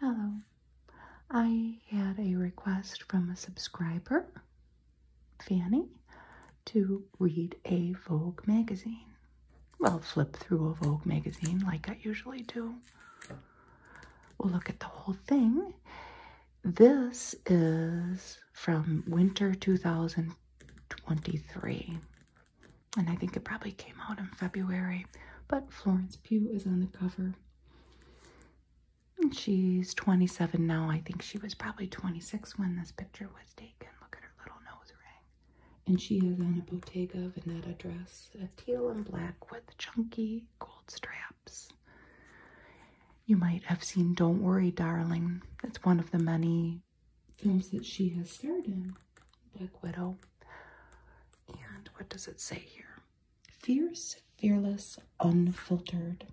Hello. I had a request from a subscriber, Fanny, to read a Vogue magazine. Well, flip through a Vogue magazine like I usually do. We'll look at the whole thing. This is from winter 2023. And I think it probably came out in February, but Florence Pew is on the cover. And she's 27 now. I think she was probably 26 when this picture was taken. Look at her little nose ring. And she is on a Bottega Veneta dress, teal and black with chunky gold straps. You might have seen Don't Worry, Darling. That's one of the many films that she has starred in. Black Widow. And what does it say here? Fierce, fearless, unfiltered.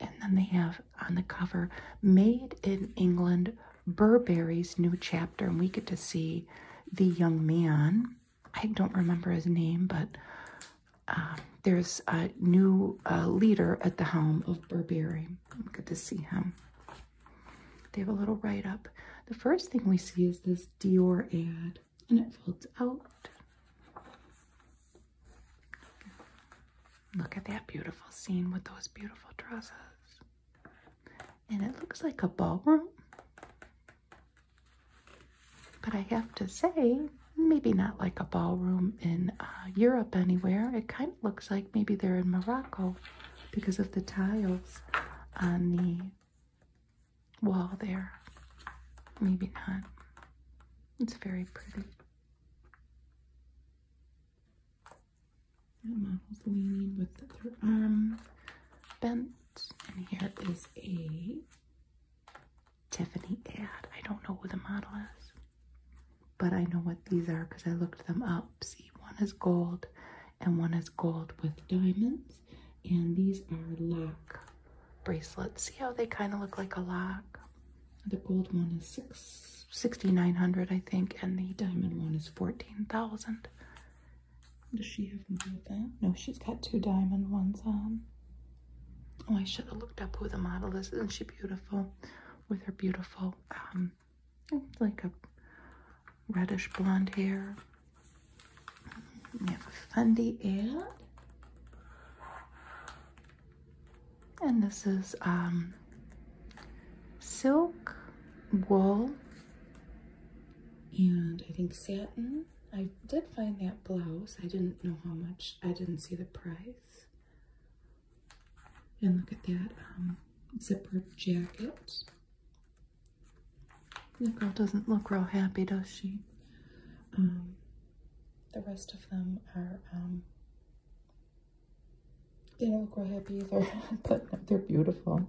And then they have on the cover, Made in England, Burberry's New Chapter. And we get to see the young man. I don't remember his name, but um, there's a new uh, leader at the helm of Burberry. Good to see him. They have a little write-up. The first thing we see is this this Dior ad and it folds out. Look at that beautiful scene with those beautiful dresses. And it looks like a ballroom. But I have to say, maybe not like a ballroom in uh, Europe anywhere. It kind of looks like maybe they're in Morocco because of the tiles on the wall there. Maybe not. It's very pretty. That model's leaning with their arm um, bent. And here is a Tiffany ad. I don't know who the model is, but I know what these are because I looked them up. See, one is gold and one is gold with diamonds. And these are lock bracelets. See how they kind of look like a lock? The gold one is six sixty nine hundred, I think, and the diamond one is fourteen thousand. Does she have more of that? No, she's got two diamond ones on. Oh, I should have looked up who the model is. Isn't she beautiful? With her beautiful, um, like a reddish blonde hair. We have a Fendi ad. And this is um, silk, wool, and I think satin. I did find that blouse. I didn't know how much. I didn't see the price. And look at that um, zipper jacket. The girl doesn't look real happy, does she? Um, the rest of them are, um, they don't look real happy either, but they're beautiful.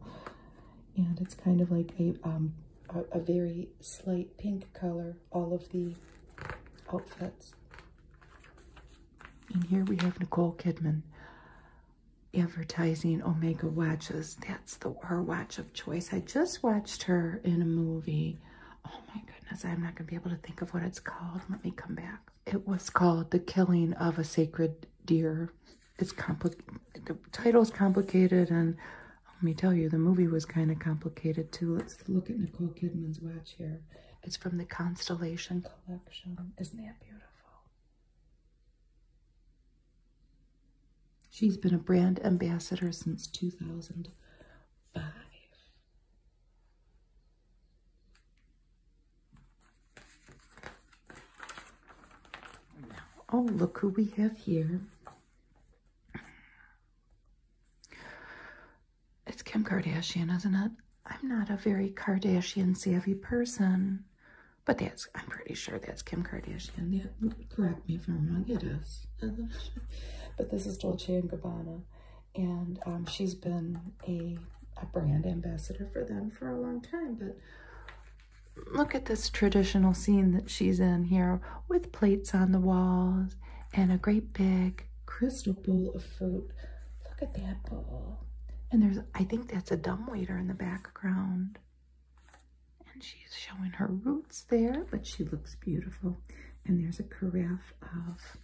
And it's kind of like um, a, a, very slight pink color, all of the outfits. And here we have Nicole Kidman advertising Omega watches that's the her watch of choice. I just watched her in a movie. Oh my goodness, I'm not gonna be able to think of what it's called. Let me come back. It was called The Killing of a Sacred Deer. It's complicated. The title's complicated, and let me tell you, the movie was kind of complicated too. Let's look at Nicole Kidman's watch here. It's from the Constellation Collection. Isn't that beautiful? She's been a brand ambassador since 2005. oh, look who we have here. It's Kim Kardashian, isn't it? I'm not a very Kardashian savvy person. But that's, I'm pretty sure that's Kim Kardashian. correct me if I'm wrong, it is. but this is Dolce & Gabbana. And um, she's been a, a brand ambassador for them for a long time. But look at this traditional scene that she's in here with plates on the walls and a great big crystal bowl of food. Look at that bowl. And there's, I think that's a dumb waiter in the background. And she's showing her roots there, but she looks beautiful. And there's a carafe of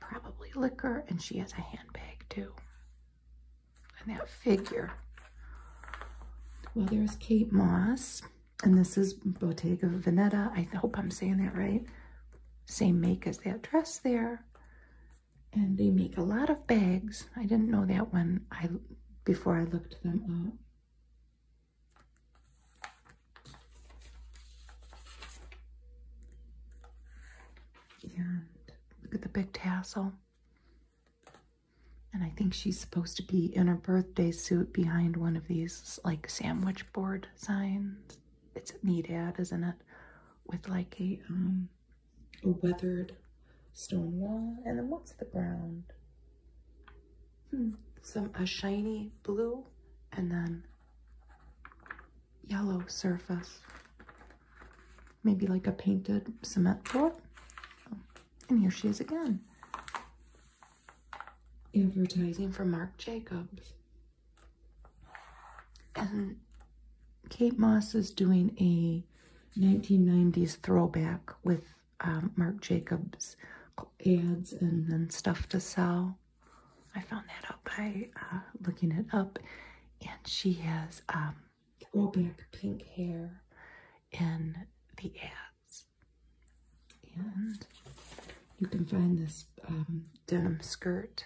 probably liquor, and she has a handbag too. And that figure. Well, there's Kate Moss, and this is Bottega Veneta. I hope I'm saying that right. Same make as that dress there. And they make a lot of bags. I didn't know that when I before I looked them up. And look at the big tassel. And I think she's supposed to be in her birthday suit behind one of these like sandwich board signs. It's a neat ad, isn't it? With like a, um, a weathered stone wall. And then what's the ground? Hmm. some a shiny blue and then yellow surface. Maybe like a painted cement floor. Oh, and here she is again. Advertising for Marc Jacobs. And Kate Moss is doing a 1990s throwback with um, Mark Jacobs ads and, and stuff to sell. I found that out by uh, looking it up. And she has um, throwback pink hair in the ads. And you can find this um, denim skirt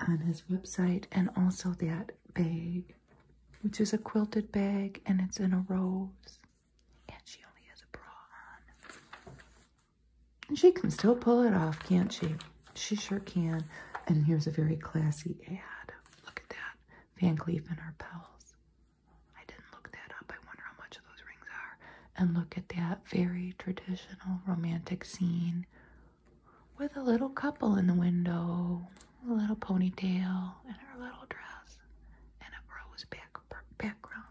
on his website and also that bag which is a quilted bag and it's in a rose. And she only has a bra on. she can still pull it off, can't she? She sure can. And here's a very classy ad. Look at that. Van Cleef and Arpels. I didn't look that up. I wonder how much those rings are. And look at that very traditional romantic scene with a little couple in the window a little ponytail and her little dress and a rose background.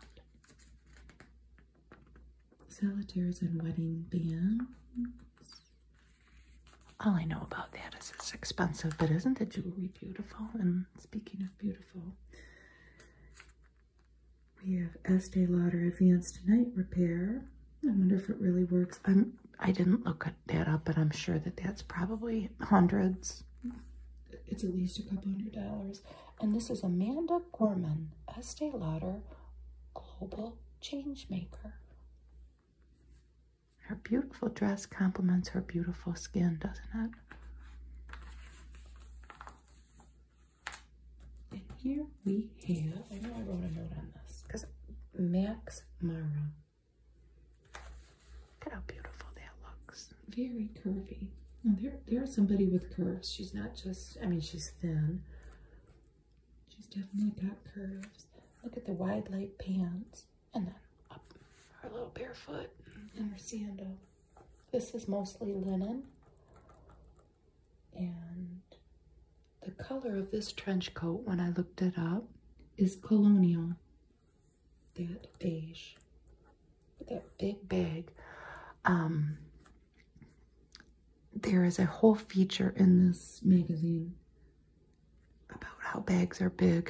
Solitaires and wedding bands. All I know about that is it's expensive, but isn't the jewelry beautiful? And speaking of beautiful, we have Estee Lauder Advanced Night Repair. I wonder if it really works. I'm I i did not look at that up, but I'm sure that that's probably hundreds. It's at least a couple hundred dollars. And this is Amanda Gorman, Estee Lauder Global change maker. Her beautiful dress complements her beautiful skin, doesn't it? And here we have, I know I wrote a note on this, because Max Mara Look how beautiful that looks. Very curvy. there, there's somebody with curves. She's not just, I mean, she's thin. She's definitely got curves. Look at the wide leg pants. And then her little barefoot and her sandal. This is mostly linen. And the color of this trench coat, when I looked it up, is colonial that beige with that big bag um there is a whole feature in this magazine about how bags are big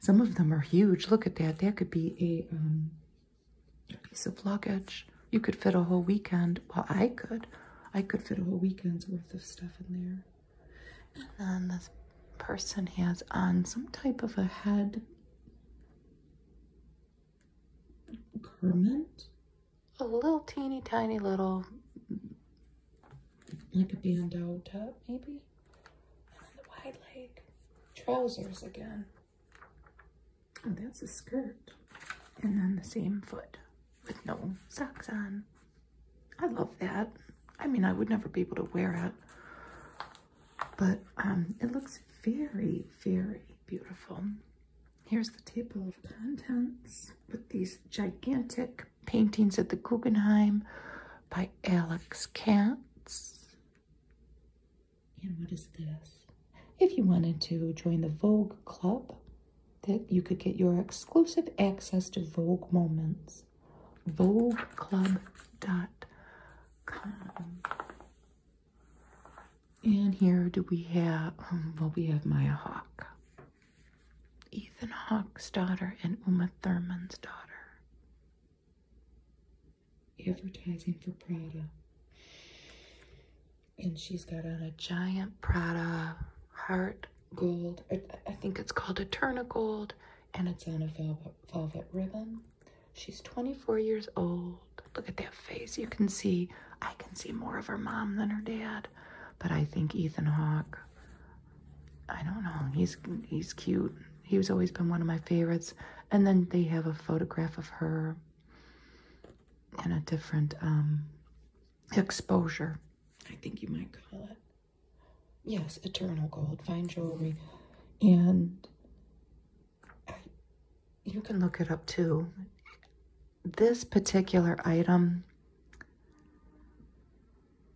some of them are huge look at that that could be a um, piece of luggage you could fit a whole weekend well i could i could fit a whole weekend's worth of stuff in there and then this person has on some type of a head garment. A little teeny tiny little, like a bandeau top maybe. And the wide leg trousers again. Oh, that's a skirt. And then the same foot with no socks on. I love that. I mean, I would never be able to wear it, but um, it looks very, very beautiful. Here's the table of contents with these gigantic paintings at the Guggenheim by Alex Katz. And what is this? If you wanted to join the Vogue Club, that you could get your exclusive access to Vogue moments is vogueclub.com. And here do we have, um, well, we have Maya Hawke, Ethan Hawke's daughter, and Uma Thurman's daughter. Advertising for Prada. And she's got on a giant Prada heart gold. I, I think it's called Eterna Gold and it's on a velvet, ribbon. She's 24 years old. Look at that face. You can see, I can see more of her mom than her dad. But I think Ethan Hawke, I don't know, he's, he's cute. He's always been one of my favorites. And then they have a photograph of her In a different um, exposure, I think you might call it yes, eternal gold, fine jewelry. And you can look it up too. This particular item,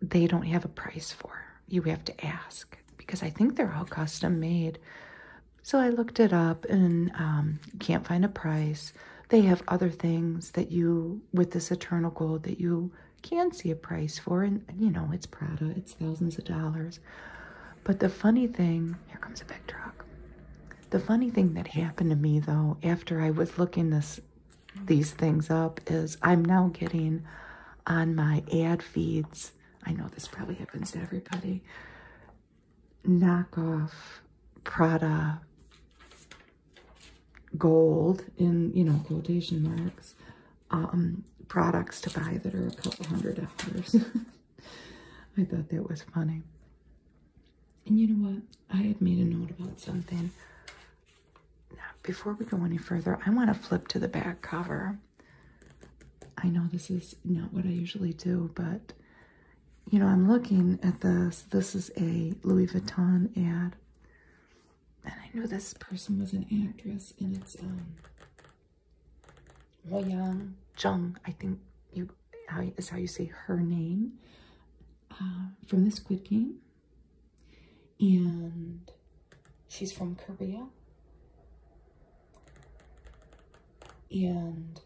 they don't have a price for. You have to ask because I think they're all custom made. So I looked it up and um, can't find a price. They have other things that you, with this eternal gold, that you can see a price for, and you know, it's Prada, it's thousands of dollars. But the funny thing, here comes a big truck. The funny thing that happened to me though, after I was looking this these things up, is I'm now getting on my ad feeds. I know this probably happens to everybody. Knockoff Prada gold in you know quotation marks um, products to buy that are a couple hundred dollars. I thought that was funny. And you know what? I had made a note about something. Now, before we go any further, I want to flip to the back cover. I know this is not what I usually do, but you know, I'm looking at this. This is a Louis Vuitton ad and I know this person was an actress, and it's um, Ho Young Jung. I think you how is how you say her name uh, from the Squid Game, and she's from Korea, and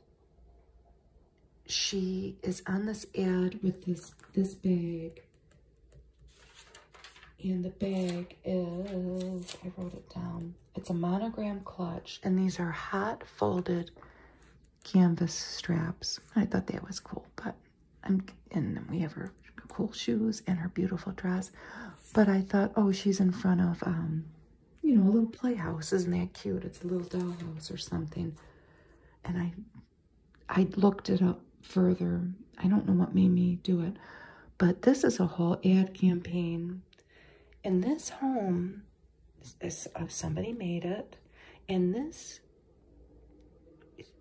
she is on this ad with this this bag and the bag is, I wrote it down. It's a monogram clutch, and these are hot folded canvas straps. I thought that was cool, but I'm, and then we have her cool shoes and her beautiful dress. But I thought, oh, she's in front of, um, you know, a little playhouse. Isn't that cute? It's a little dollhouse or something. And I, I looked it up further I don't know what made me do it, but this is a whole ad campaign. And this home, is, uh, somebody made it, and this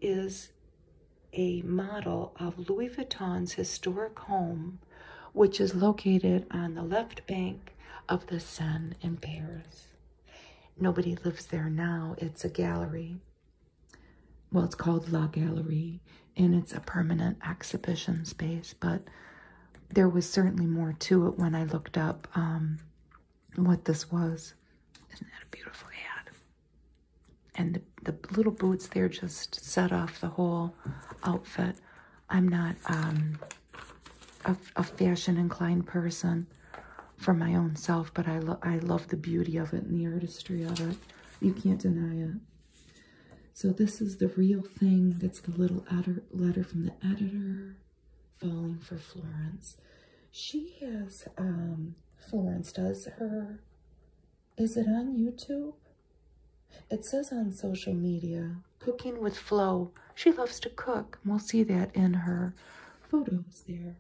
is a model of Louis Vuitton's historic home, which is located on the left bank of the Seine in Paris. Nobody lives there now. It's a gallery well, it's called La Gallerie, and it's a permanent exhibition space, but there was certainly more to it when I looked up um, what this was. Isn't that a beautiful ad? And the, little boots there just set off the whole outfit. I'm not um, a, fashion-inclined person for my own self, but I, lo I love the beauty of it and the artistry of it. You can't deny it. So this is the real thing. That's the little letter from the editor falling for Florence. She has, um, Florence does her, is it on YouTube? It says on social media, cooking with Flo. She loves to cook. We'll see that in her photos there.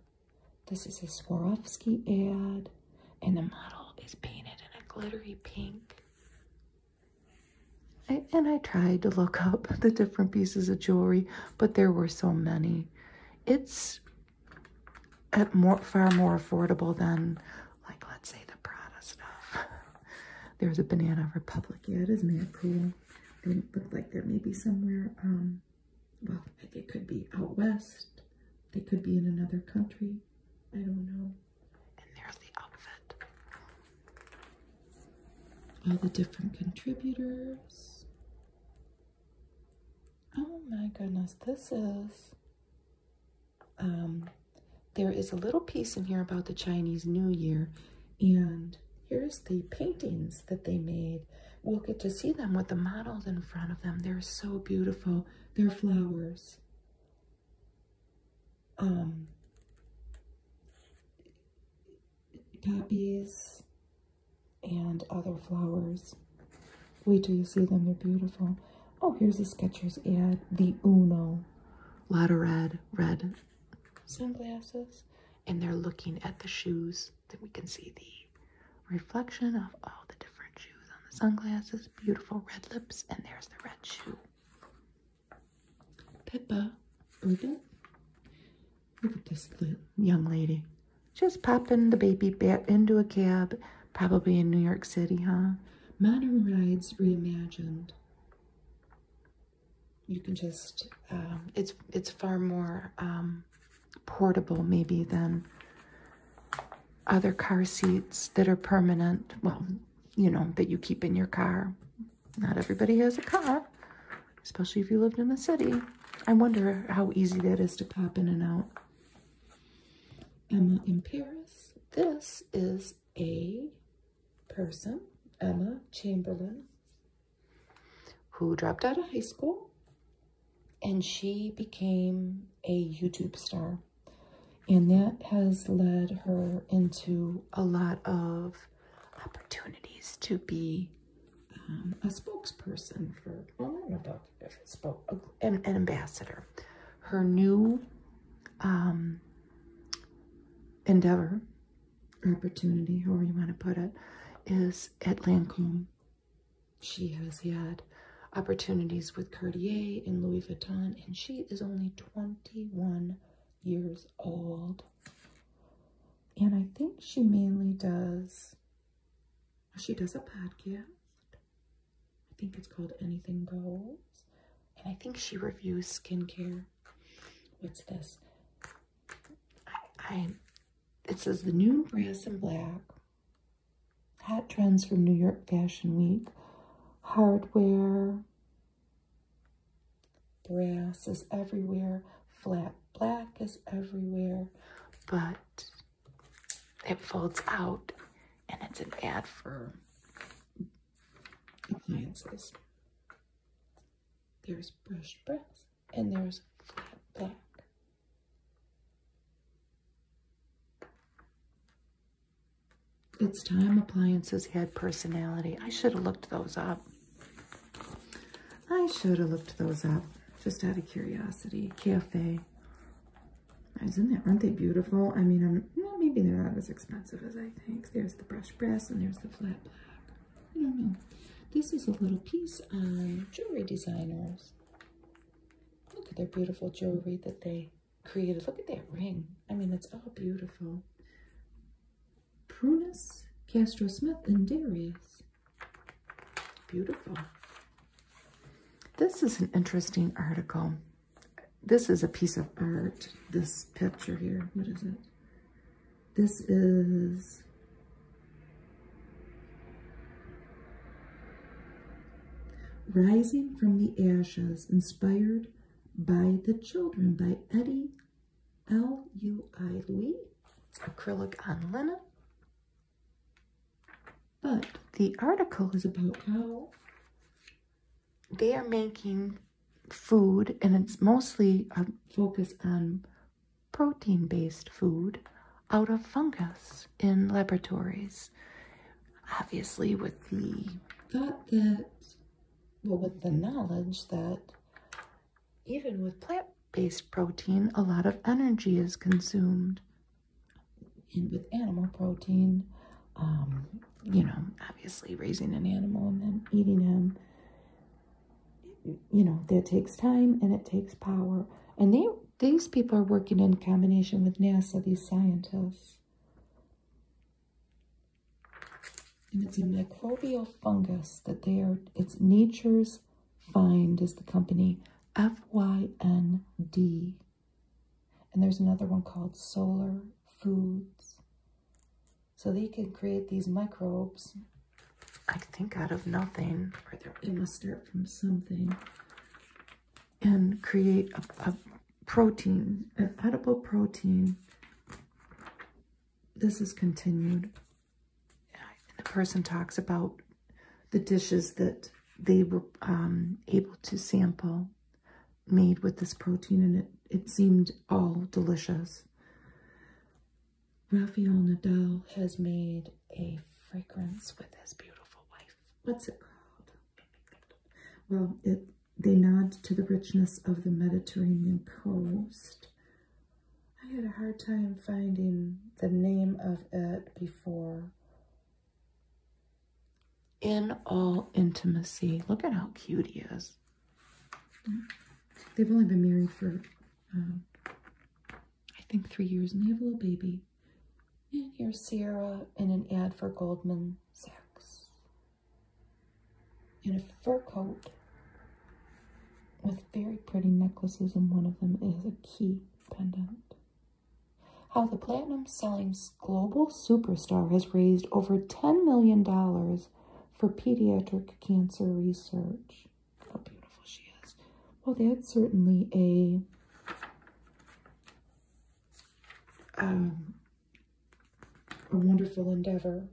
This is a Swarovski ad and the model is painted in a glittery pink. and I tried to look up the different pieces of jewelry, but there were so many. It's at more, far more affordable than, like, let's say the Prada stuff. There's a Banana Republic. Yeah, isn't that cool? It looked like there may be somewhere, um, well, it could be out west. They could be in another country. I don't know. And there's the outfit. All the different contributors. Oh my goodness, this is. Um, there is a little piece in here about the Chinese New Year, and here's the paintings that they made. We'll get to see them with the models in front of them. They're so beautiful. They're flowers poppies um, and other flowers. Wait till you see them, they're beautiful. Oh, here's a Skechers ad, the Uno. A lot of red, red sunglasses. And they're looking at the shoes. Then we can see the reflection of all the different shoes on the sunglasses, beautiful red lips, and there's the red shoe. Pippa, Uga, look at this young lady. Just popping the baby back into a cab, probably in New York City, huh? Modern Rides Reimagined. You can just, um, it's, it's far more um, portable maybe than other car seats that are permanent. Well, you know, that you keep in your car. Not everybody has a car, especially if you lived in a city. I wonder how easy that is to pop in and out. Emma in Paris. This is a person, Emma Chamberlain, who dropped out of high school and she became a YouTube star. And that has led her into a lot of opportunities to be um, a spokesperson for, well, not know different an, ambassador. Her new um, endeavor, opportunity, however you want to put it, is at Lancome she has had opportunities with Cartier and Louis Vuitton, and she is only 21 years old. And I think she mainly does, she does a podcast. I think it's called Anything Goes. And I think she reviews skincare. What's this? I, it says the new brass and black Hot trends from New York Fashion Week. Hardware. Brass is everywhere. Flat black is everywhere. But it folds out and it's an ad for appliances. There's brushed brass and there's flat black. It's time appliances had personality. I should have looked those up. I should have looked those up just out of curiosity. Cafe. Isn't that, aren't they beautiful? I mean, I'm, maybe they're not as expensive as I think. There's the brush brass and there's the flat black. I don't know. This is a little piece on jewelry designers. Look at their beautiful jewelry that they created. Look at that ring. I mean, it's all beautiful. Prunus, Castro Smith, and Darius. Beautiful. This is an interesting article. This is a piece of art, this picture here. What is it? This is Rising from the Ashes, inspired by the children by Eddie L.U.I. Louis. Acrylic on linen. But the article is about how they are making food, and it's mostly a um, focus on protein based food out of fungus in laboratories. Obviously, with the thought that, well, with the knowledge that even with plant based protein, a lot of energy is consumed. And with animal protein, um, you know, obviously raising an animal and then eating him, you know, that takes time and it takes power. And they these people are working in combination with NASA, these scientists. And it's a microbial fungus that they are, it's Nature's Find is the company, F-Y-N-D. And there's another one called Solar Foods. So they can create these microbes, I think out of nothing, or they must start from something and create a, protein, an edible protein. This is continued. The person talks about the dishes that they were um, able to sample made with this protein, and it, it seemed all delicious. Rafael Nadal has made a fragrance with his beautiful wife. What's it called? Well, it, they nod to the richness of the Mediterranean coast. I had a hard time finding the name of it before. In all intimacy. Look at how cute he is. They've only been married for, um, I think, three years, and they have a little baby. And here's Sierra in an ad for Goldman Sachs. In a fur coat with very pretty necklaces, and one of them is a key pendant. How the platinum selling global superstar has raised over $10 million for pediatric cancer research. How beautiful she is. Well, that's certainly a um, a wonderful endeavor.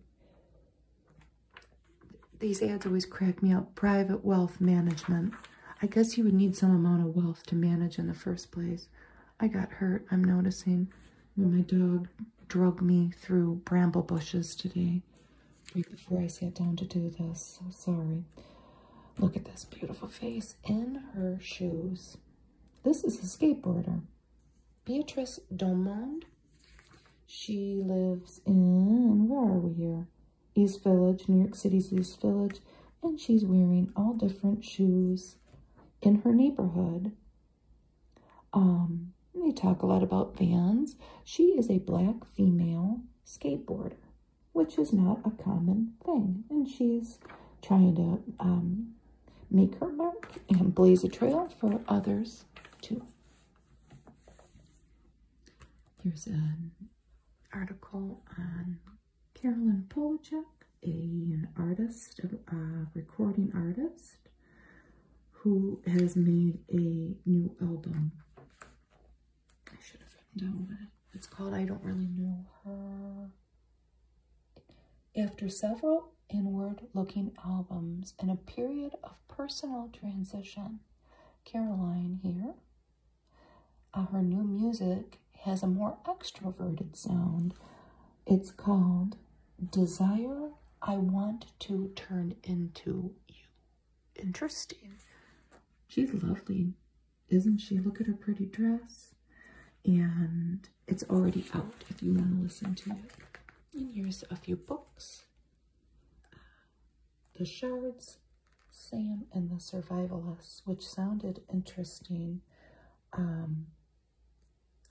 These ads always crack me up. Private wealth management. I guess you would need some amount of wealth to manage in the first place. I got hurt, I'm noticing, my dog drug me through bramble bushes today, right before I sat down to do this. So sorry. Look at this beautiful face in her shoes. This is a skateboarder. Beatrice Domond. She lives in, where are we here? East Village, New York City's East Village. And she's wearing all different shoes in her neighborhood. Um, they talk a lot about Vans. She is a black female skateboarder, which is not a common thing. And she's trying to um, make her mark and blaze a trail for others too. Here's an article on Carolyn Polachek, an artist, a recording artist, who has made a new album. I should have written down what it's called. I don't really know her after several inward looking albums and a period of personal transition, Caroline here, uh, her new music has a more extroverted sound. It's called Desire I Want to Turn Into You. Interesting. She's lovely, isn't she? Look at her pretty dress and it's already out if you want to listen to it. And here's a few books. The Shards, Sam and the Survivalists, which sounded interesting. Um,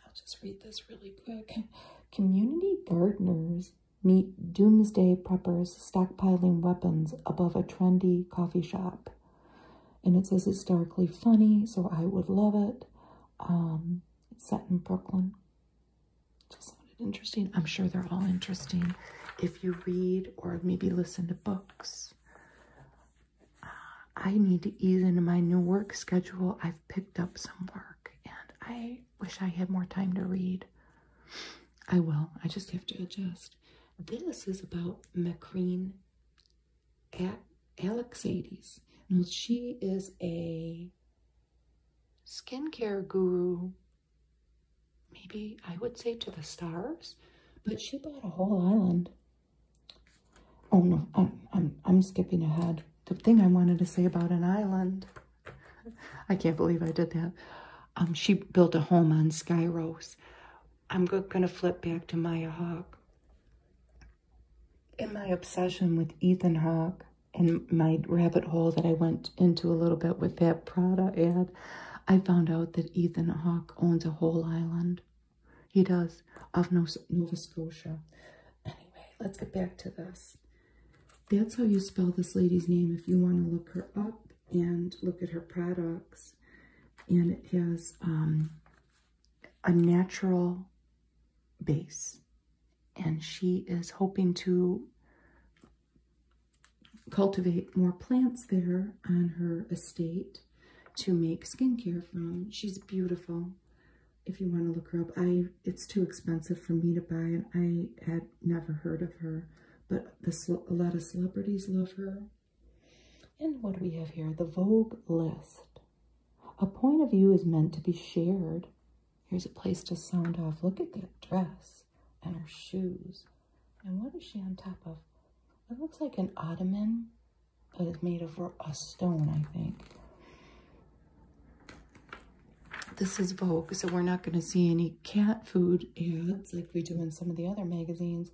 I'll just read this really quick. Community gardeners meet doomsday preppers stockpiling weapons above a trendy coffee shop and it says it's darkly funny, so I would love it. Um, it's set in Brooklyn. Just sounded interesting. I'm sure they're all interesting if you read or maybe listen to books. Uh, I need to ease into my new work schedule. I've picked up some work and I wish I had more time to read. I will. I just have to adjust. This is about Macrine Alexades. Now she is a skincare guru. Maybe I would say to the stars, but she bought a whole island. Oh no, I'm I'm I'm skipping ahead. The thing I wanted to say about an island. I can't believe I did that. Um, she built a home on Skyros. I'm going to flip back to Maya Hawk in my obsession with Ethan Hawke and my rabbit hole that I went into a little bit with that Prada ad, I found out that Ethan Hawke owns a whole island. He does, of Nova Scotia. Anyway, let's get back to this. That's how you spell this lady's name if you want to look her up and look at her products. And it has um, a natural base. And she is hoping to cultivate more plants there on her estate to make skincare from. She's beautiful. If you want to look her up, I it's too expensive for me to buy, and I had never heard of her. But a lot of celebrities love her. And what do we have here? The Vogue list. A point of view is meant to be shared. Here's a place to sound off. Look at that dress and her shoes. And what is she on top of? It looks like an ottoman, but it's made of a stone, I think. This is Vogue, so we're not going to see any cat food ads like we do in some of the other magazines.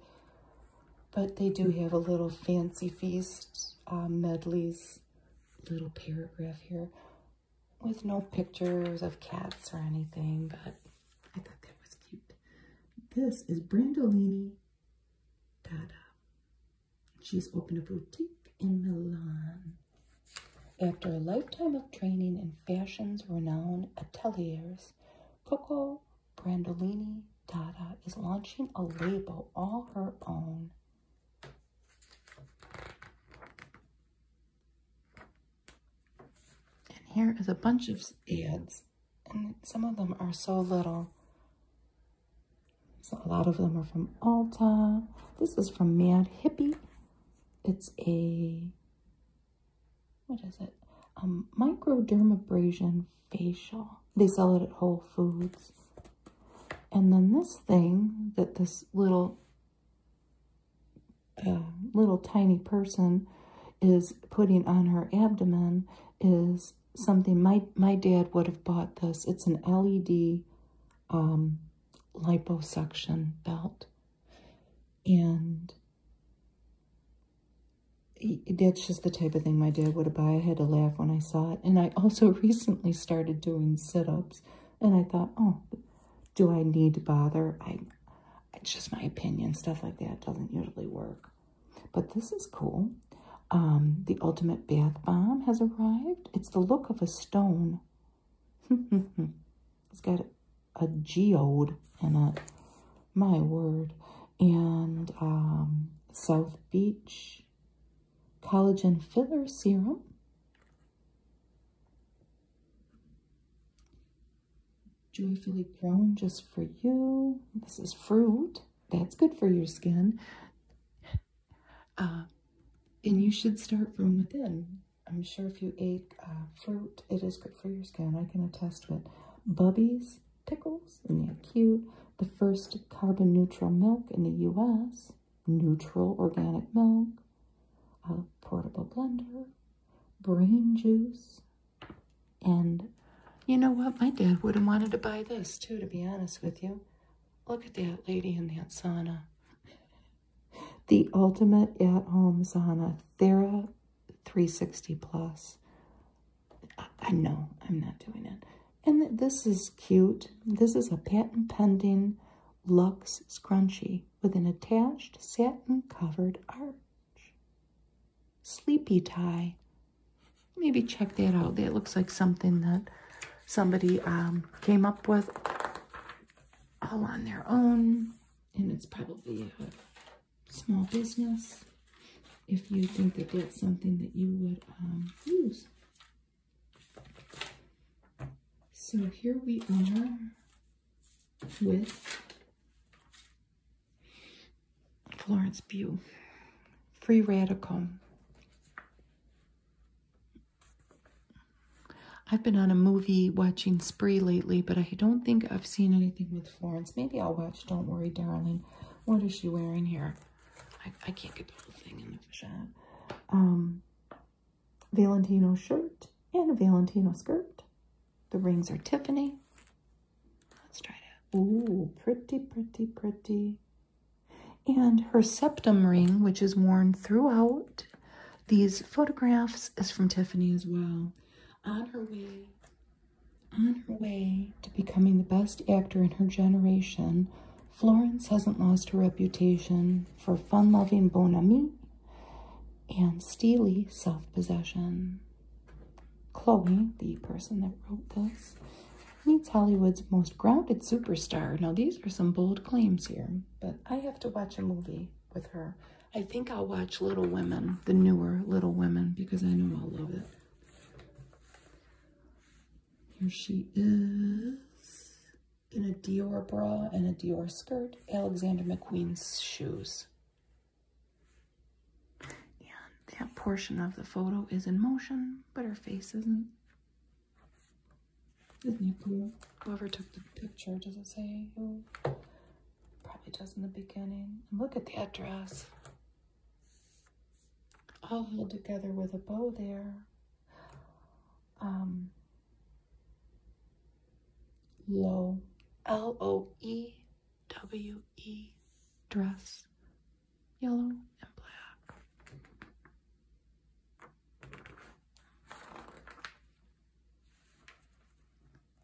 But they do have a little fancy feast uh, medleys little paragraph here with no pictures of cats or anything, but I thought that was cute. This is Brandolini Dada. She's opened a boutique in Milan. After a lifetime of training in fashion's renowned ateliers, Coco Brandolini Dada is launching a label all her own. And here is a bunch of ads. And some of them are so little. So a lot of them are from Alta. This is from Mad Hippie. It's a, what is it? Um, microdermabrasion facial. They sell it at Whole Foods. And then this thing that this little uh, little tiny person is putting on her abdomen is something my my dad would have bought this. It's an LED um, liposuction belt, and that's just the type of thing my dad would buy. I had to laugh when I saw it. And I also recently started doing sit-ups. And I thought, oh, do I need to bother? I, It's just my opinion. Stuff like that doesn't usually work. But this is cool. Um, the Ultimate Bath Bomb has arrived. It's the look of a stone. it's got a, geode in it. My word. And um, South Beach Collagen Filler Serum. Joyfully Grown just for you. This is fruit. That's good for your skin. Uh, and you should start from within. I'm sure if you ate uh, fruit, it is good for your skin. I can attest to it. Bubbies pickles, and the acute. The first carbon neutral milk in the U.S., neutral organic milk, a portable blender, brain juice, and you know what? My dad would have wanted to buy this too, to be honest with you. Look at that lady in that sauna. The ultimate at-home sauna, Thera 360 Plus. I, know I'm not doing it. And this is cute. This is a patent pending Luxe scrunchie with an attached satin covered arch. Sleepy tie. Maybe check that out. That looks like something that somebody um, came up with all on their own. And it's probably a small business if you think that that's something that you would um, use. So here we are with Florence Pugh, Free Radical. I've been on a movie watching spree lately, but I don't think I've seen anything with Florence. Maybe I'll watch Don't Worry Darling. What is she wearing here? I, can't get the whole thing in the fish um, Valentino shirt and a Valentino skirt. The rings are Tiffany. Let's try that. Ooh, pretty, pretty, pretty. And her septum ring, which is worn throughout these photographs, is from Tiffany as well. On her way, on her way to becoming the best actor in her generation, Florence hasn't lost her reputation for fun loving bon ami and steely self possession. Chloe, the person that wrote this, meets Hollywood's most grounded superstar. Now, these are some bold claims here, but I have to watch a movie with her. I think I'll watch Little Women, the newer Little Women, because I know I'll love it. Here she is in a Dior bra and a Dior skirt, Alexander McQueen's shoes. And that portion of the photo is in motion, but her face isn't. Whoever took the picture, does it say who? Probably does in the beginning. look at the address all oh. held together with a bow there. Um, low, L O E W E dress, yellow and black.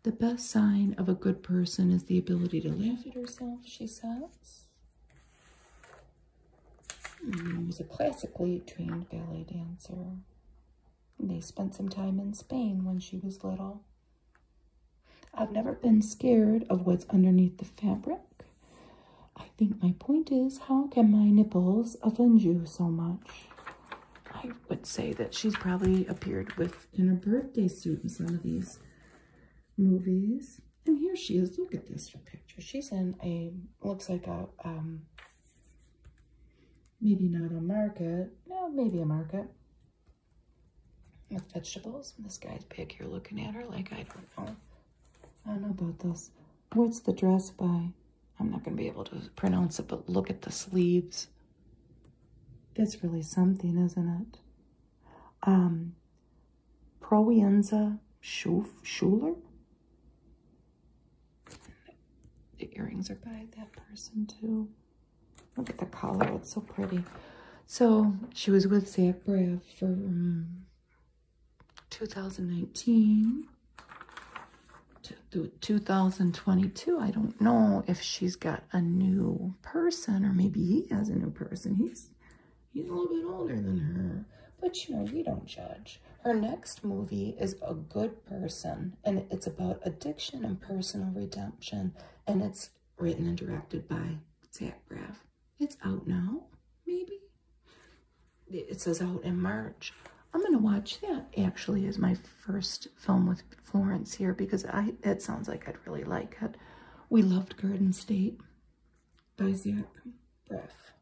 The best sign of a good person is the ability to laugh at herself, she says. Mm, he was a classically trained ballet dancer. They spent some time in Spain when she was little. I've never been scared of what's underneath the fabric. I think my point is, how can my nipples offend you so much? I would say that she's probably appeared with in a birthday suit in some of these movies. And here she is. Look at this picture. She's in a, looks like a, um, maybe not a market. No, maybe a market with vegetables. This guy's big here looking at her like, I don't know. I don't know about this. What's the dress by? I'm not going to be able to pronounce it, but look at the sleeves. It's really something, isn't it? Um, Proenza Schuler. The earrings are by that person too. Look at the collar, it's so pretty. So she was with Zach Braff for um, 2019 to 2022. I don't know if she's got a new person or maybe he has a new person. He's He's a little bit older than her. But you know, we don't judge. Her next movie is A Good Person, and it's about addiction and personal redemption, and it's written and directed by Zach Braff. It's out now, maybe? It says out in March. I'm going to watch that, actually, is my first film with Florence here, because I it sounds like I'd really like it. We loved Garden State by Zach Braff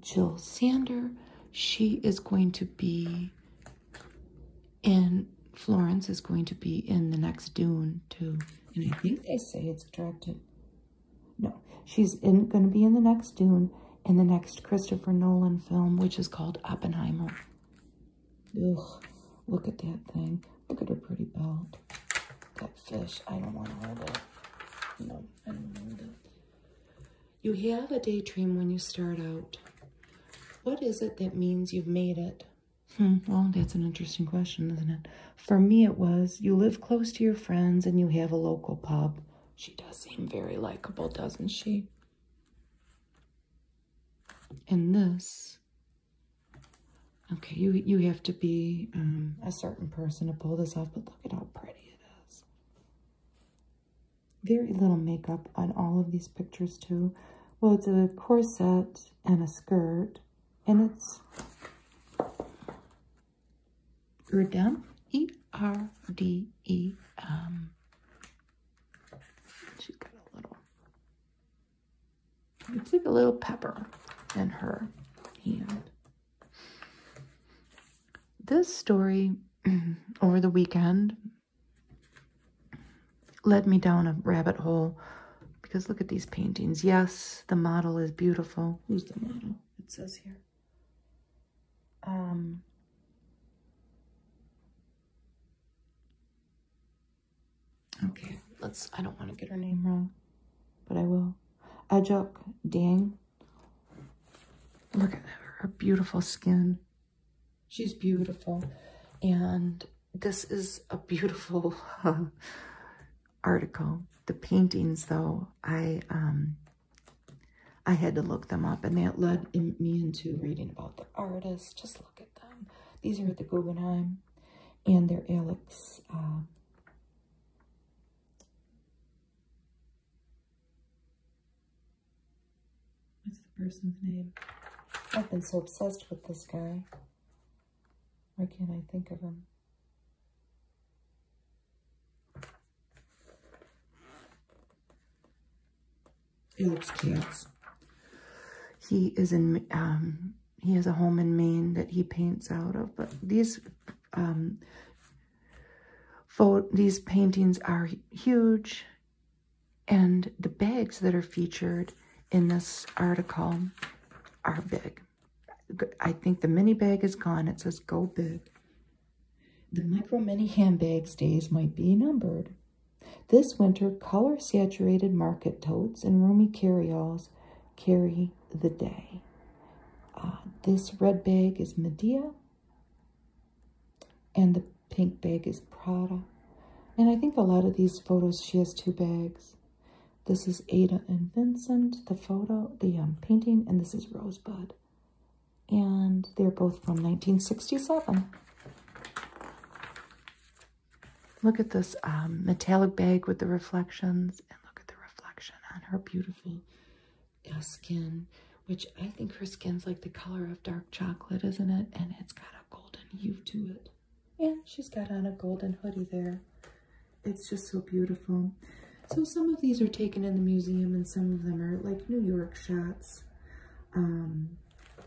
Jill Sander. She is going to be in Florence is going to be in the next Dune too. And I think they say it's directed. No, she's in, going to be in the next Dune in the next Christopher Nolan film, which is called Oppenheimer. Ugh, look at that thing. Look at her pretty belt. That fish. I don't want to hold that. No. You have a daydream when you start out. What is it that means you've made it? Hmm, well, that's an interesting question, isn't it? For me, it was you live close to your friends and you have a local pub. She does seem very likable, doesn't she? And this, okay, you you have to be um, a certain person to pull this off, but look at how pretty. Very little makeup on all of these pictures, too. Well, it's a corset and a skirt, and it's Erdem, E R D E M. She's got a little, it's like a little pepper in her hand. This story over the weekend led me down a rabbit hole because look at these paintings. Yes, the model is beautiful. Who's the model? It says here. Um, okay, let's, I don't want to get her name wrong, but I will. Ajok Dang. Look at her, her beautiful skin. She's beautiful. And this is a beautiful article. The paintings, though, I um, I had to look them up, and that led me into reading about the artists. Just look at them. These are at the Guggenheim, and they're Alex uh, What's the person's name? I've been so obsessed with this guy. Why can't I think of him? He looks cute. He is in, um, he has a home in Maine that he paints out of, but these um, these paintings are huge, and the bags that are featured in this article are big. I think the mini bag is gone. It says go big. The micro mini handbags days might be numbered. This winter, color-saturated market totes and roomy carryalls carry the day. Uh, this red bag is Medea, and the pink bag is Prada. And I think a lot of these photos, she has two bags. This is Ada and Vincent, the photo, the um, painting, and this is Rosebud. And they're both from 1967. Look at this um, metallic bag with the reflections, and look at the reflection on her beautiful uh, skin, which I think her skin's like the color of dark chocolate, isn't it? And it's got a golden hue to it. Yeah, she's got on a golden hoodie there. It's just so beautiful. So some of these are taken in the museum and some of them are like New York shots. Um,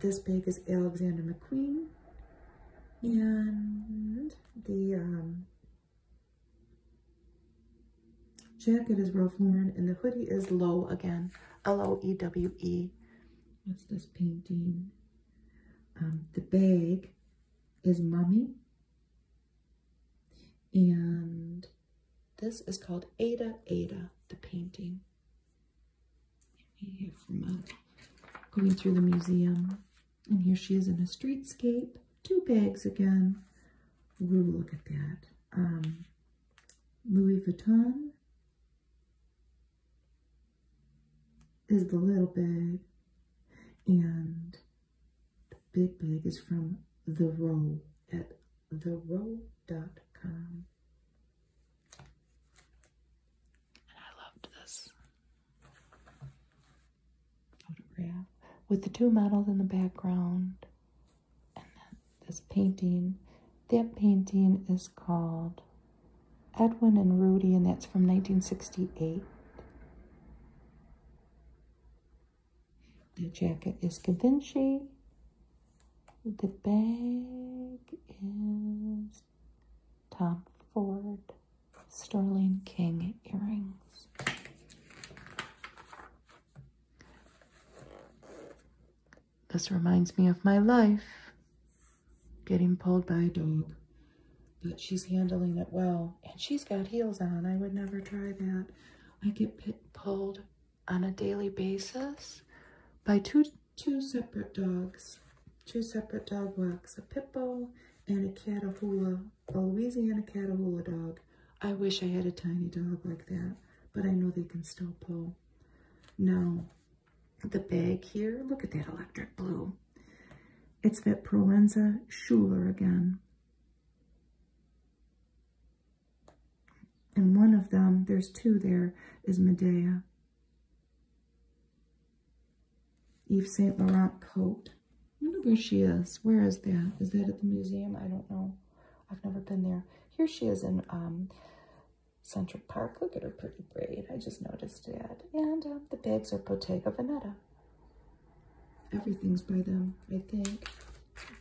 this bag is Alexander McQueen. And the um, Jacket is rough worn and the hoodie is low again. L O E W E. What's this painting? Um, the bag is Mummy. And this is called Ada Ada, the painting. from uh, going through the museum. And here she is in a streetscape. Two bags again we'll look at that. Um, Louis Vuitton is the little bag, and the big bag is from The Row at therow.com. And I loved this photograph with the two models in the background and then this painting. That painting is called Edwin and Rudy, and that's from 1968. The jacket is Cavinci. The bag is Tom Ford Sterling King earrings. This reminds me of my life getting pulled by a dog. But she's handling it well. And she's got heels on. I would never try that. I get pulled on a daily basis by two, two separate dogs. Two separate dog walks. A pit bull and a catahoula a Louisiana Catahoula dog. I wish I had a tiny dog like that, but I know they can still pull. Now, the bag here, look at that electric blue. It's that Proenza Schuler again. And one of them, there's two there, is Medea. Eve Saint Laurent coat wonder where she is. Where is that? Is that at the museum? I don't know. I've never been there. Here she is in um, Central Park. Look at her pretty braid. I just noticed that. And uh, the bags are Bottega Veneta. Everything's by them, I think.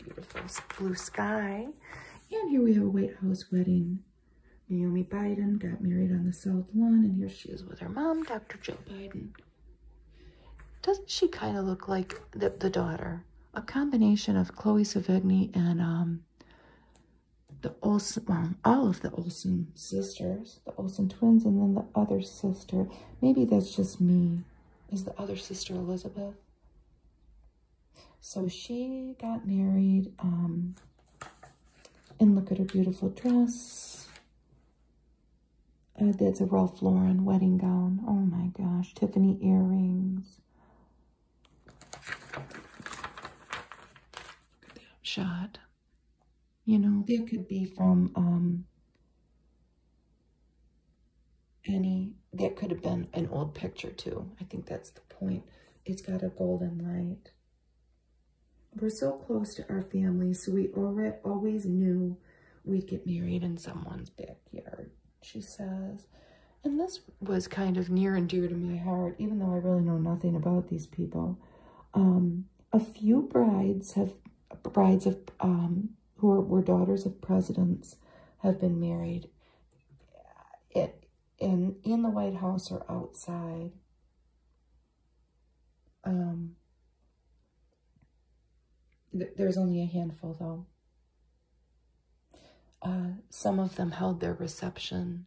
Beautiful blue sky. And here we have a White House wedding. Naomi Biden got married on the South Lawn, and here she is with her mom, Dr. Joe Biden. Doesn't she kind of look like the, the daughter? A combination of Chloe Sevigny and um, the Olsen, all of the Olsen sisters, the Olsen twins, and then the other sister. Maybe that's just me. Is the other sister Elizabeth? So she got married. Um, and look at her beautiful dress that's a Ralph Lauren wedding gown. Oh my gosh. Tiffany earrings. Look at that Shot. You know, that could be from um, any, that could have been an old picture too. I think that's the point. It's got a golden light. We're so close to our family, so we always knew we'd get married in someone's backyard she says. And this was kind of near and dear to my heart, even though I really know nothing about these people. Um, a few brides have brides of um, who were daughters of presidents have been married it in in the White House or outside. Um, there's only a handful, though. Uh, some of them held their reception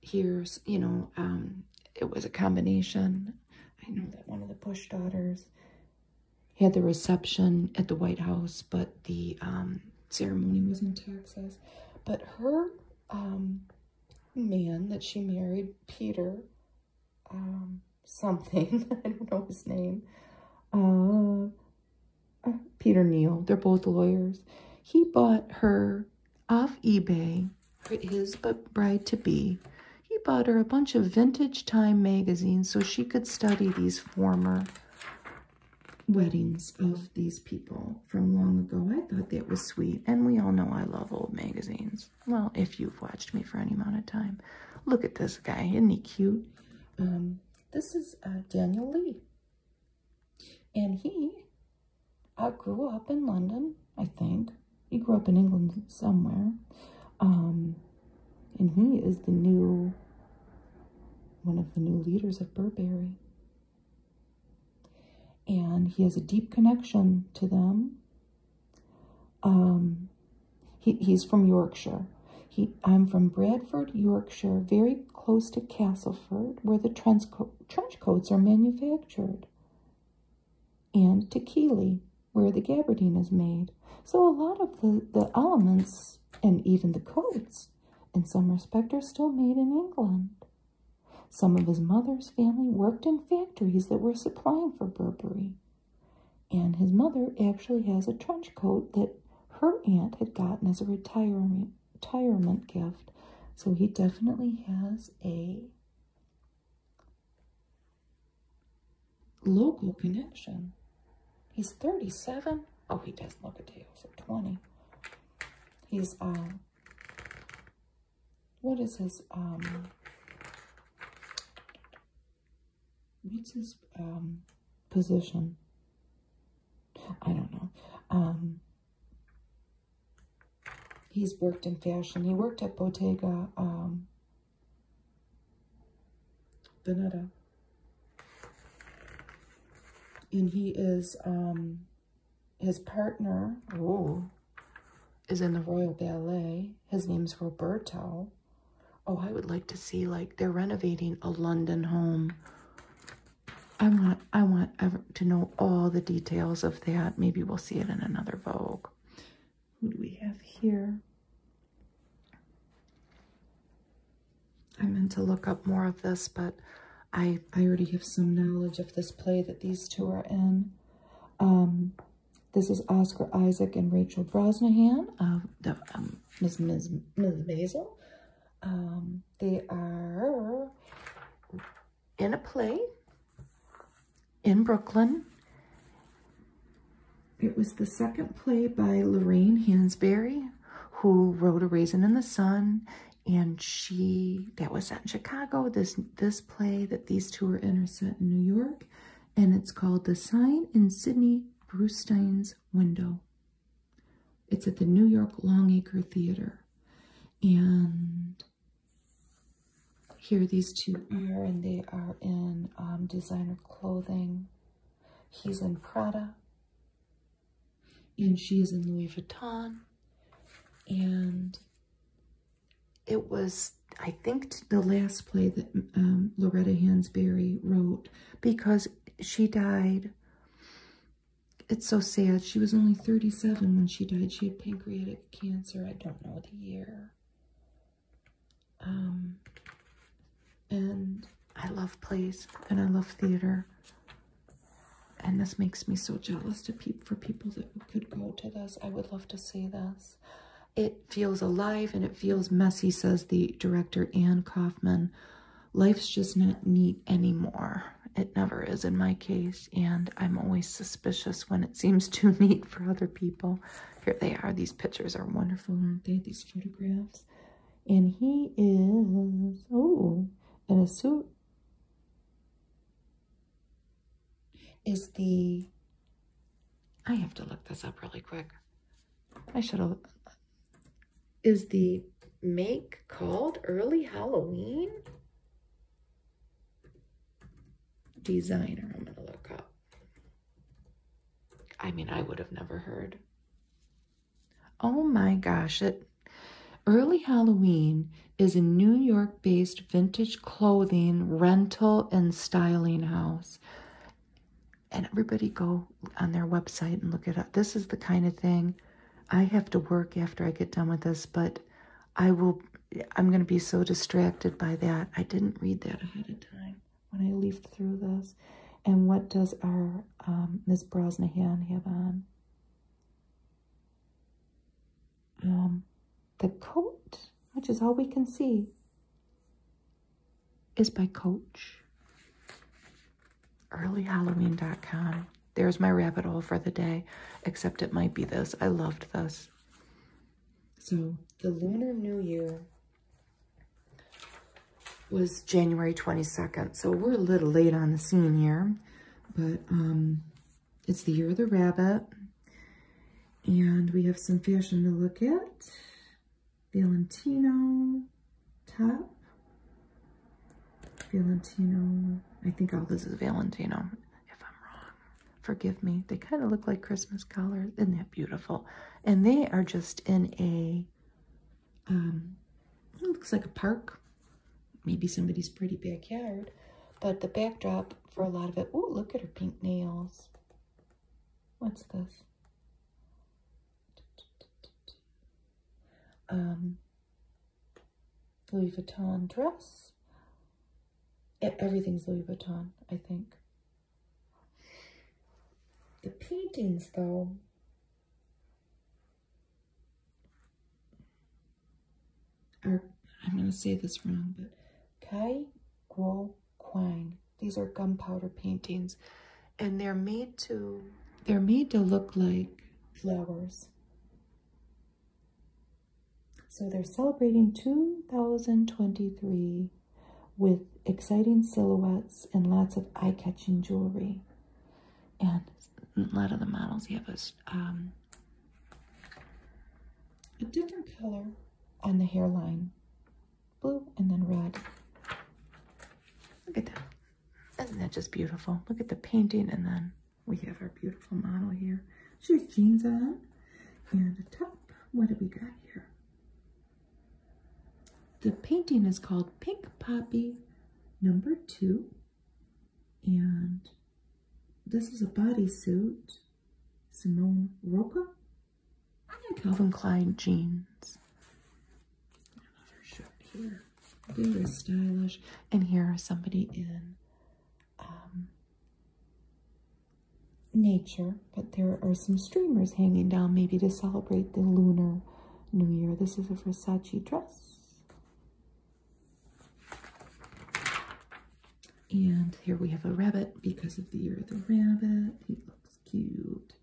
here's, you know, um, it was a combination. I know that one of the Bush daughters had the reception at the White House, but the um, ceremony was in Texas. But her um, man that she married, Peter, something. I don't know his name. Uh, uh, Peter Neal. They're both lawyers. He bought her off eBay, his but bride-to-be. He bought her a bunch of vintage Time magazines so she could study these former weddings of these people from long ago. I thought that was sweet. And we all know I love old magazines. Well, if you've watched me for any amount of time. Look at this guy. Isn't he cute? Um, this is uh, Daniel Lee. And he uh, grew up in London, I think. He grew up in England somewhere. Um, and he is the new, one of the new leaders of Burberry. And he has a deep connection to them. Um, he, he's from Yorkshire. He, I'm from Bradford, Yorkshire, very close to Castleford, where the trench, trench coats are manufactured, and to Keeley, where the gabardine is made. So a lot of the, the elements, and even the coats, in some respect, are still made in England. Some of his mother's family worked in factories that were supplying for Burberry. And his mother actually has a trench coat that her aunt had gotten as a retirement retirement gift. So he definitely has a local connection. He's 37. Oh, he does not look a day over 20. He's, um, what is his, um, What's his um, position? I don't know. Um, he's worked in fashion. He worked at Bottega um, Veneta. And he is, his partner, oh, is in the Royal Ballet. His name is Roberto. Oh, I would like to see like they're renovating a London home. I want I want to know all the details of that. Maybe we'll see it in another Vogue. Who do we have here? I meant to look up more of this, but I I already have some knowledge of this play that these two are in. Um, this is Oscar Isaac and Rachel Brosnahan of the um, Ms. Ms. Ms. Basil, Um, they are in a play in Brooklyn. It was the second play by Lorraine Hansberry, who wrote A Raisin in the Sun, and she, that was set in Chicago, this, this play that these two are in are set in New York, and it's called The Sign in Sydney Brewstein's Window. It's at the New York Longacre Theater. And here these two are, and they are in um, designer clothing. He's in Prada, and she is in Louis Vuitton. And it was, I think, the last play that um, Loretta Hansberry wrote because she died. It's so sad. She was only 37 when she died. She had pancreatic cancer. I don't know the year. Um, and I love plays and I love theater. And this makes me so jealous to peep for people that could go to this. I would love to see this. It feels alive and it feels messy, says the director Anne Kaufman life's just not neat anymore. It never is in my case, and I'm always suspicious when it seems too neat for other people. Here they are. These pictures are wonderful, aren't they? These photographs. And he is, oh, in a suit. Is the, I have to look this up really quick eyeshadow is the make called early Halloween designer. I'm gonna look up. I mean, I would have never heard. Oh my gosh, it Early Halloween is a New York based vintage clothing rental and styling house and everybody go on their website and look it up. This is the kind of thing I have to work after I get done with this, but I will I'm going to be so distracted by that. I didn't read that ahead of time when I leafed through this. And what does our um, Miss Brosnahan have on? Um, the coat, which is all we can see is by Coach. Earlyhalloween.com. There's my rabbit hole for the day, except it might be this. I loved this. So the Lunar New Year was January 22nd. So we're a little late on the scene here, but um, it's the year of the rabbit. And we have some fashion to look at. Valentino top. Valentino. I think all this is Valentino. If I'm wrong, forgive me. They kind of look like Christmas colors. Isn't that beautiful? And they are just in a, um, looks like a park. Maybe somebody's pretty backyard. But the backdrop for a lot of it. Oh, look at her pink nails. What's this? Um, Louis Vuitton dress. Everything's Louis Vuitton, I think. The paintings, though, are, I'm going to say this wrong, but Kai Guo These are gunpowder paintings and they're made to they're made to look like flowers. So they're celebrating 2023 with exciting silhouettes and lots of eye-catching jewelry. And a lot of the models have um, a, different color on the hairline blue, and then red. Look at that. Isn't that just beautiful? Look at the painting, and then we have our beautiful model here. She's jeans on, and a top. What do we got here? The painting is called Pink Poppy number two. And this is a bodysuit, Simone Roca, and Calvin Klein jeans. Another shirt here. Very stylish. And here is somebody in um, nature, but there are some streamers hanging down, maybe to celebrate the lunar new year. This is a Versace dress. And here we have a rabbit because of the year of the rabbit. He looks cute.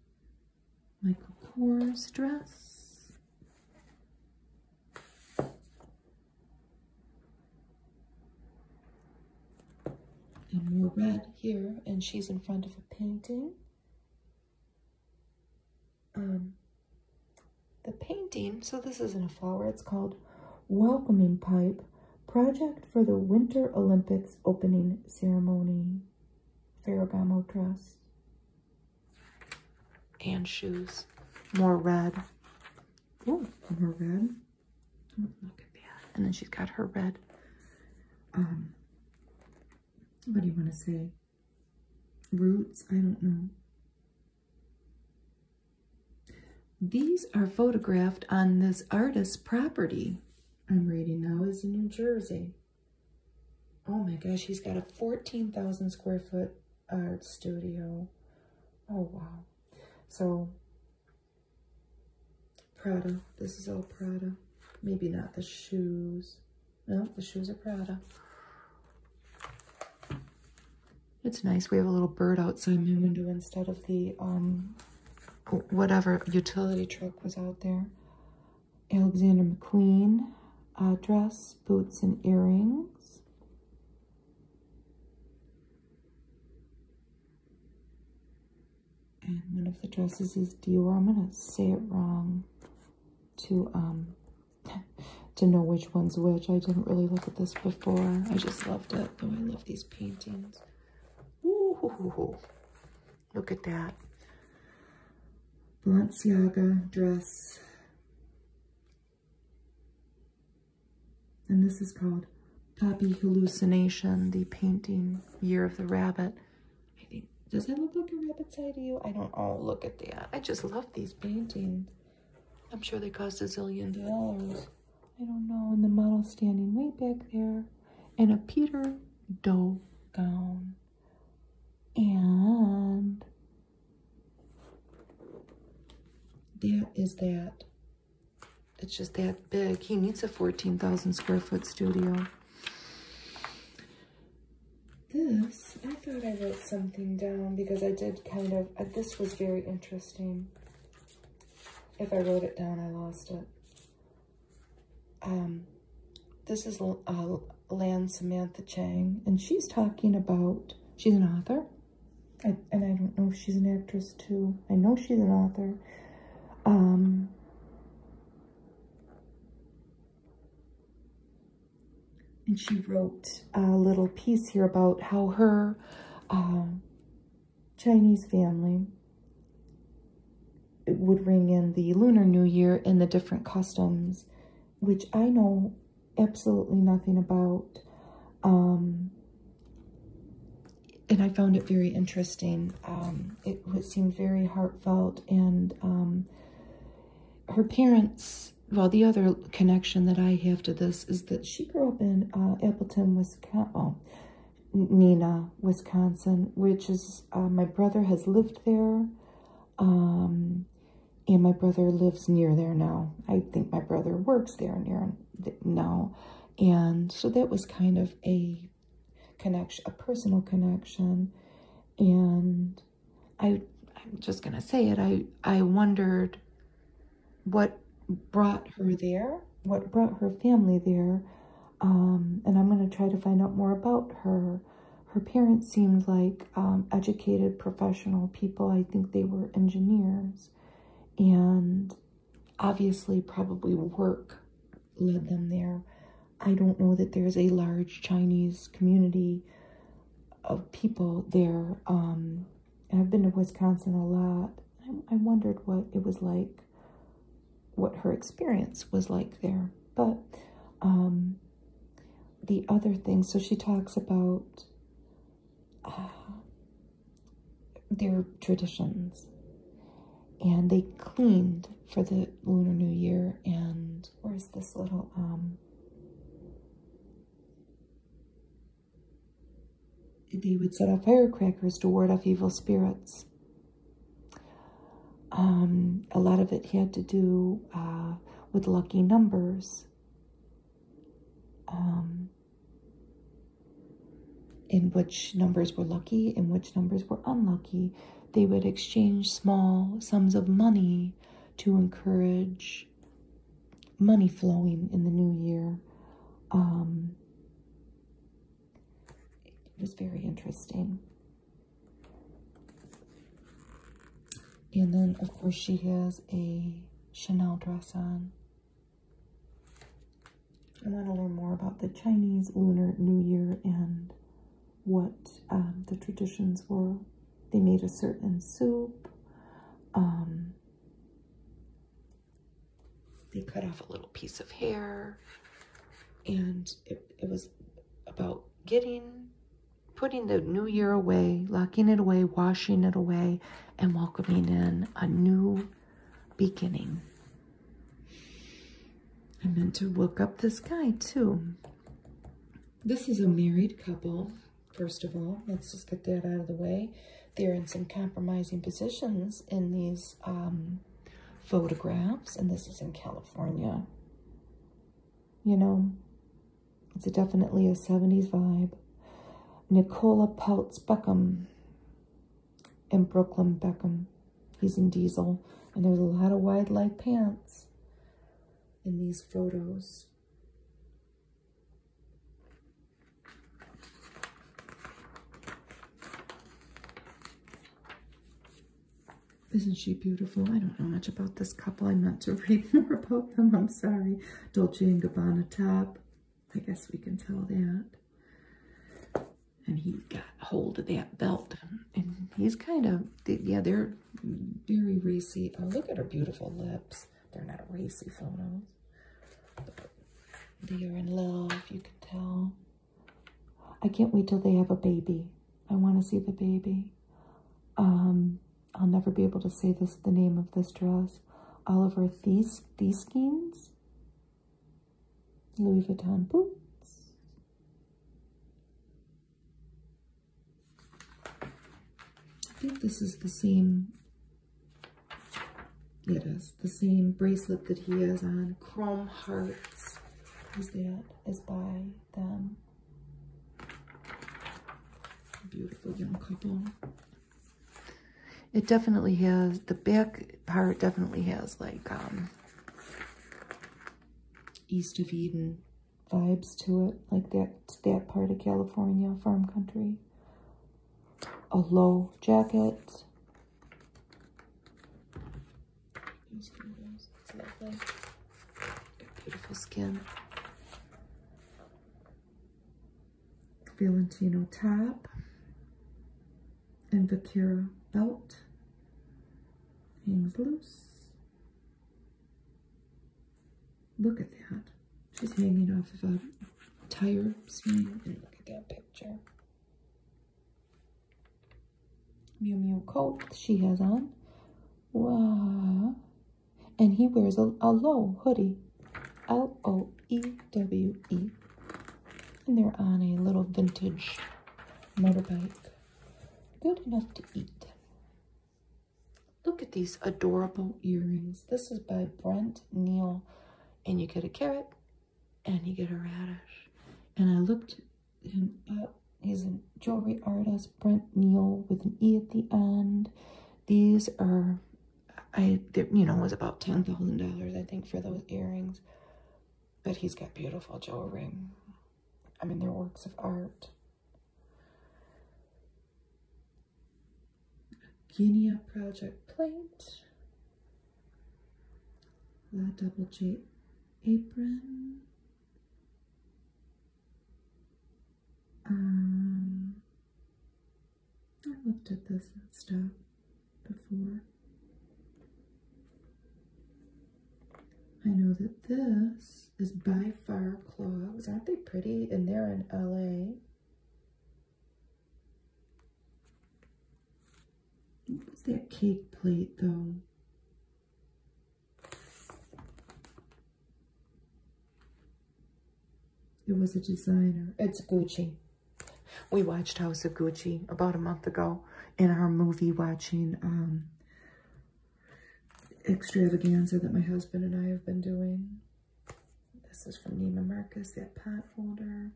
Michael Kors dress. And more red here, and she's in front of a painting. Um, the painting, so this isn't a flower, it's called Welcoming Pipe, Project for the Winter Olympics Opening Ceremony, Ferragamo dress and shoes. More red. Oh, more red. look at that. And then she's got her red. Um, what do you want to say? Roots? I don't know. These are photographed on this artist's property. I'm reading now is in New Jersey. Oh my gosh, he's got a 14,000 square foot art uh, studio. Oh wow. So, Prada. This is all Prada. Maybe not the shoes. No, the shoes are Prada. It's nice. We have a little bird outside my window instead of the um, whatever utility truck was out there. Alexander McQueen dress, boots and earrings. And one of the dresses is Dior. I'm going to say it wrong to, um, to know which one's which. I didn't really look at this before. I just loved it. Though I love these paintings. Look at that. Balenciaga dress. And this is called Poppy Hallucination, the painting Year of the Rabbit. Think, does that look like a rabbit's eye to you? I don't, oh, look at that. I just love these paintings. I'm sure they cost a zillion dollars. I don't know. And the model standing way back there. And a Peter Doe gown. And that is that. It's just that big. He needs a 14,000 square foot studio. This, I thought I wrote something down because I did kind of, uh, this was very interesting. If I wrote it down, I lost it. Um, this is uh, Lan Samantha Chang, and she's talking about, she's an author, and I don't know if she's an actress too. I know she's an author. Um, and she wrote a little piece here about how her uh, Chinese family it would ring in the Lunar New Year and the different customs, which I know absolutely nothing about. Um, and I found it very interesting. Um, it, it, seemed very heartfelt. And um, her parents, well, the other connection that I have to this is that she grew up in uh, Appleton, Wisconsin, oh, Nina, Wisconsin, which is, uh, my brother has lived there. Um, and my brother lives near there now. I think my brother works there near now. And so that was kind of a connection, a personal connection. And I, I'm just going to say it. I, I wondered what brought her there, what brought her family there. Um, and I'm going to try to find out more about her her parents seemed like um, educated professional people. I think they were engineers and obviously probably work led them there. I don't know that there's a large Chinese community of people there. Um, and I've been to Wisconsin a lot. I, wondered what it was like, what her experience was like there. But um, the other thing. So she talks about uh, their traditions. And they cleaned for the Lunar New Year. And where's this little, um, they would set off firecrackers to ward off evil spirits. Um, a lot of it had to do uh, with lucky numbers. Um, in which numbers were lucky and which numbers were unlucky. They would exchange small sums of money to encourage money flowing in the new year. Um, it was very interesting. And then, of course, she has a Chanel dress on. I want to learn more about the Chinese Lunar New Year and what um, the traditions were. They made a certain soup. Um, they cut off a little piece of hair. And it was about getting putting the new year away, locking it away, washing it away, and welcoming in a new beginning. I meant to look up this guy too. This is a married couple, first of all. Let's just get that out of the way. They're in some compromising positions in these um, photographs, and this is in California. You know, it's definitely a 70s vibe. Nicola Peltz Beckham and Brooklyn Beckham. He's in Diesel. And there's a lot of wide leg pants in these photos. Isn't she beautiful? I don't know much about this couple. I meant to read more about them. I'm sorry. Dolce & Gabbana top. I guess we can tell that. And he got hold of that belt. And he's kind of, yeah, they're very racy. Oh, look at her beautiful lips. They're not racy photos. they are in love, you can tell. I can't wait till they have a baby. I want to see the baby. Um, I'll never be able to say this the name of this dress. Oliver These Thieskins. Louis Vuitton boots. I think this is the same. It is the same bracelet that he has on. Chrome Hearts is that is by them. Beautiful young couple. It definitely has, the back part definitely has like um, East of Eden vibes to it, like that, that part of California, farm country. A low jacket beautiful skin. Valentino top and Vakira belt hangs loose. Look at that. She's hanging off of a tire swing. And look at that picture. Mew Mew coat she has on. Wow and he wears a, a low hoodie. L O E W E. And they're on a little vintage motorbike. Good enough to eat. Look at these adorable earrings. This is by Brent Neil, And you get a carrot and you get a radish. And I looked him up He's a jewelry artist, Brent Neal with an E at the end. These are, I you know, was about $10,000, I think, for those earrings. But he's got beautiful jewelry. I mean, they're works of art. Guinea Project Plate. La Double J apron. Um, I looked at this stuff before. I know that this is by far clogs. Aren't they pretty? And they're in LA. What was that cake plate though? It was a designer. It's Gucci. We watched House of Gucci about a month ago in our movie watching um, extravaganza that my husband and I have been doing. This is from Neiman Marcus, that pot folder.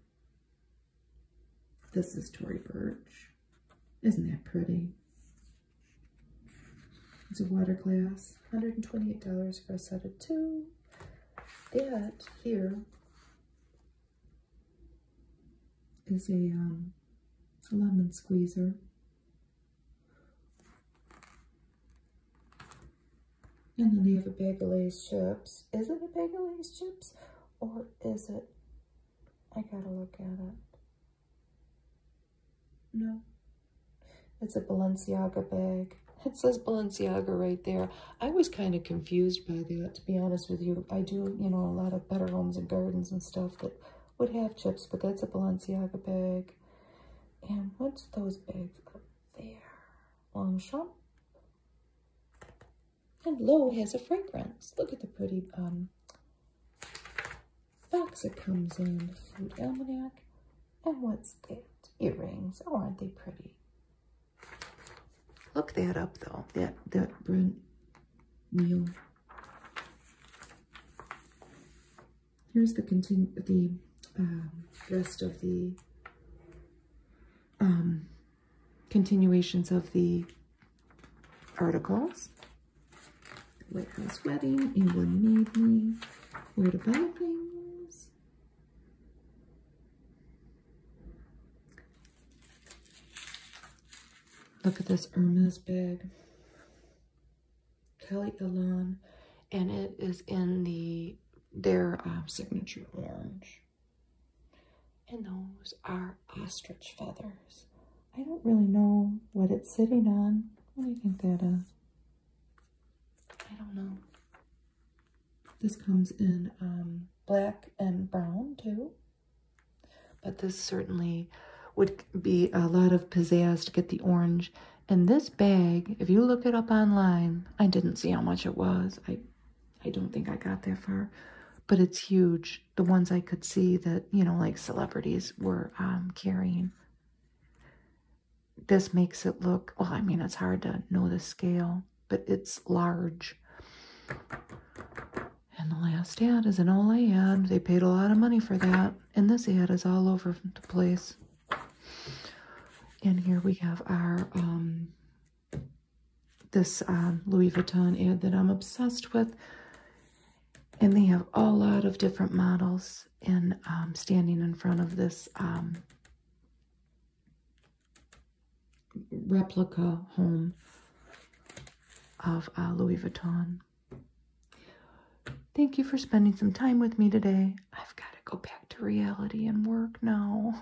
This is Tory Burch. Isn't that pretty? It's a water glass, $128 for a set of two. That here is um, a lemon squeezer. And then you have a bag of Lay's chips. Is it a bag of Lay's chips or is it? I gotta look at it. No. It's a Balenciaga bag. It says Balenciaga right there. I was kind of confused by that, to be honest with you. I do, you know, a lot of Better Homes and Gardens and stuff that would have chips, but that's a Balenciaga bag. And what's those bags up there? Longchamp. And Low has a fragrance. Look at the pretty um, box comes in, the almanac, and what's that? Earrings. Oh, aren't they pretty? Look that up though. That that Brent Neil. Here's the continue the um, rest of the um, continuations of the articles. White House Wedding, England Made Me, Weird About Things. Look at this Irma's bag. Kelly Alon, and it is in the their um, signature orange. And those are ostrich feathers. I don't really know what it's sitting on. What do you think that is? I don't know. This comes in um, black and brown too. But this certainly would be a lot of pizzazz to get the orange. And this bag, if you look it up online, I didn't see how much it was. I, I don't think I got that far. But it's huge. The ones I could see that, you know, like celebrities were um, carrying this makes it look, well, I mean, it's hard to know the scale, but it's large. And the last ad is an Olay ad. They paid a lot of money for that. And this ad is all over the place. And here we have our, um, this um, Louis Vuitton ad that I'm obsessed with. And they have a lot of different models. And um, standing in front of this um, replica home of uh, Louis Vuitton. Thank you for spending some time with me today. I've got to go back to reality and work now.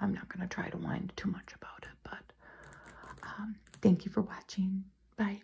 I'm not going to try to wind too much about it, but um, thank you for watching. Bye.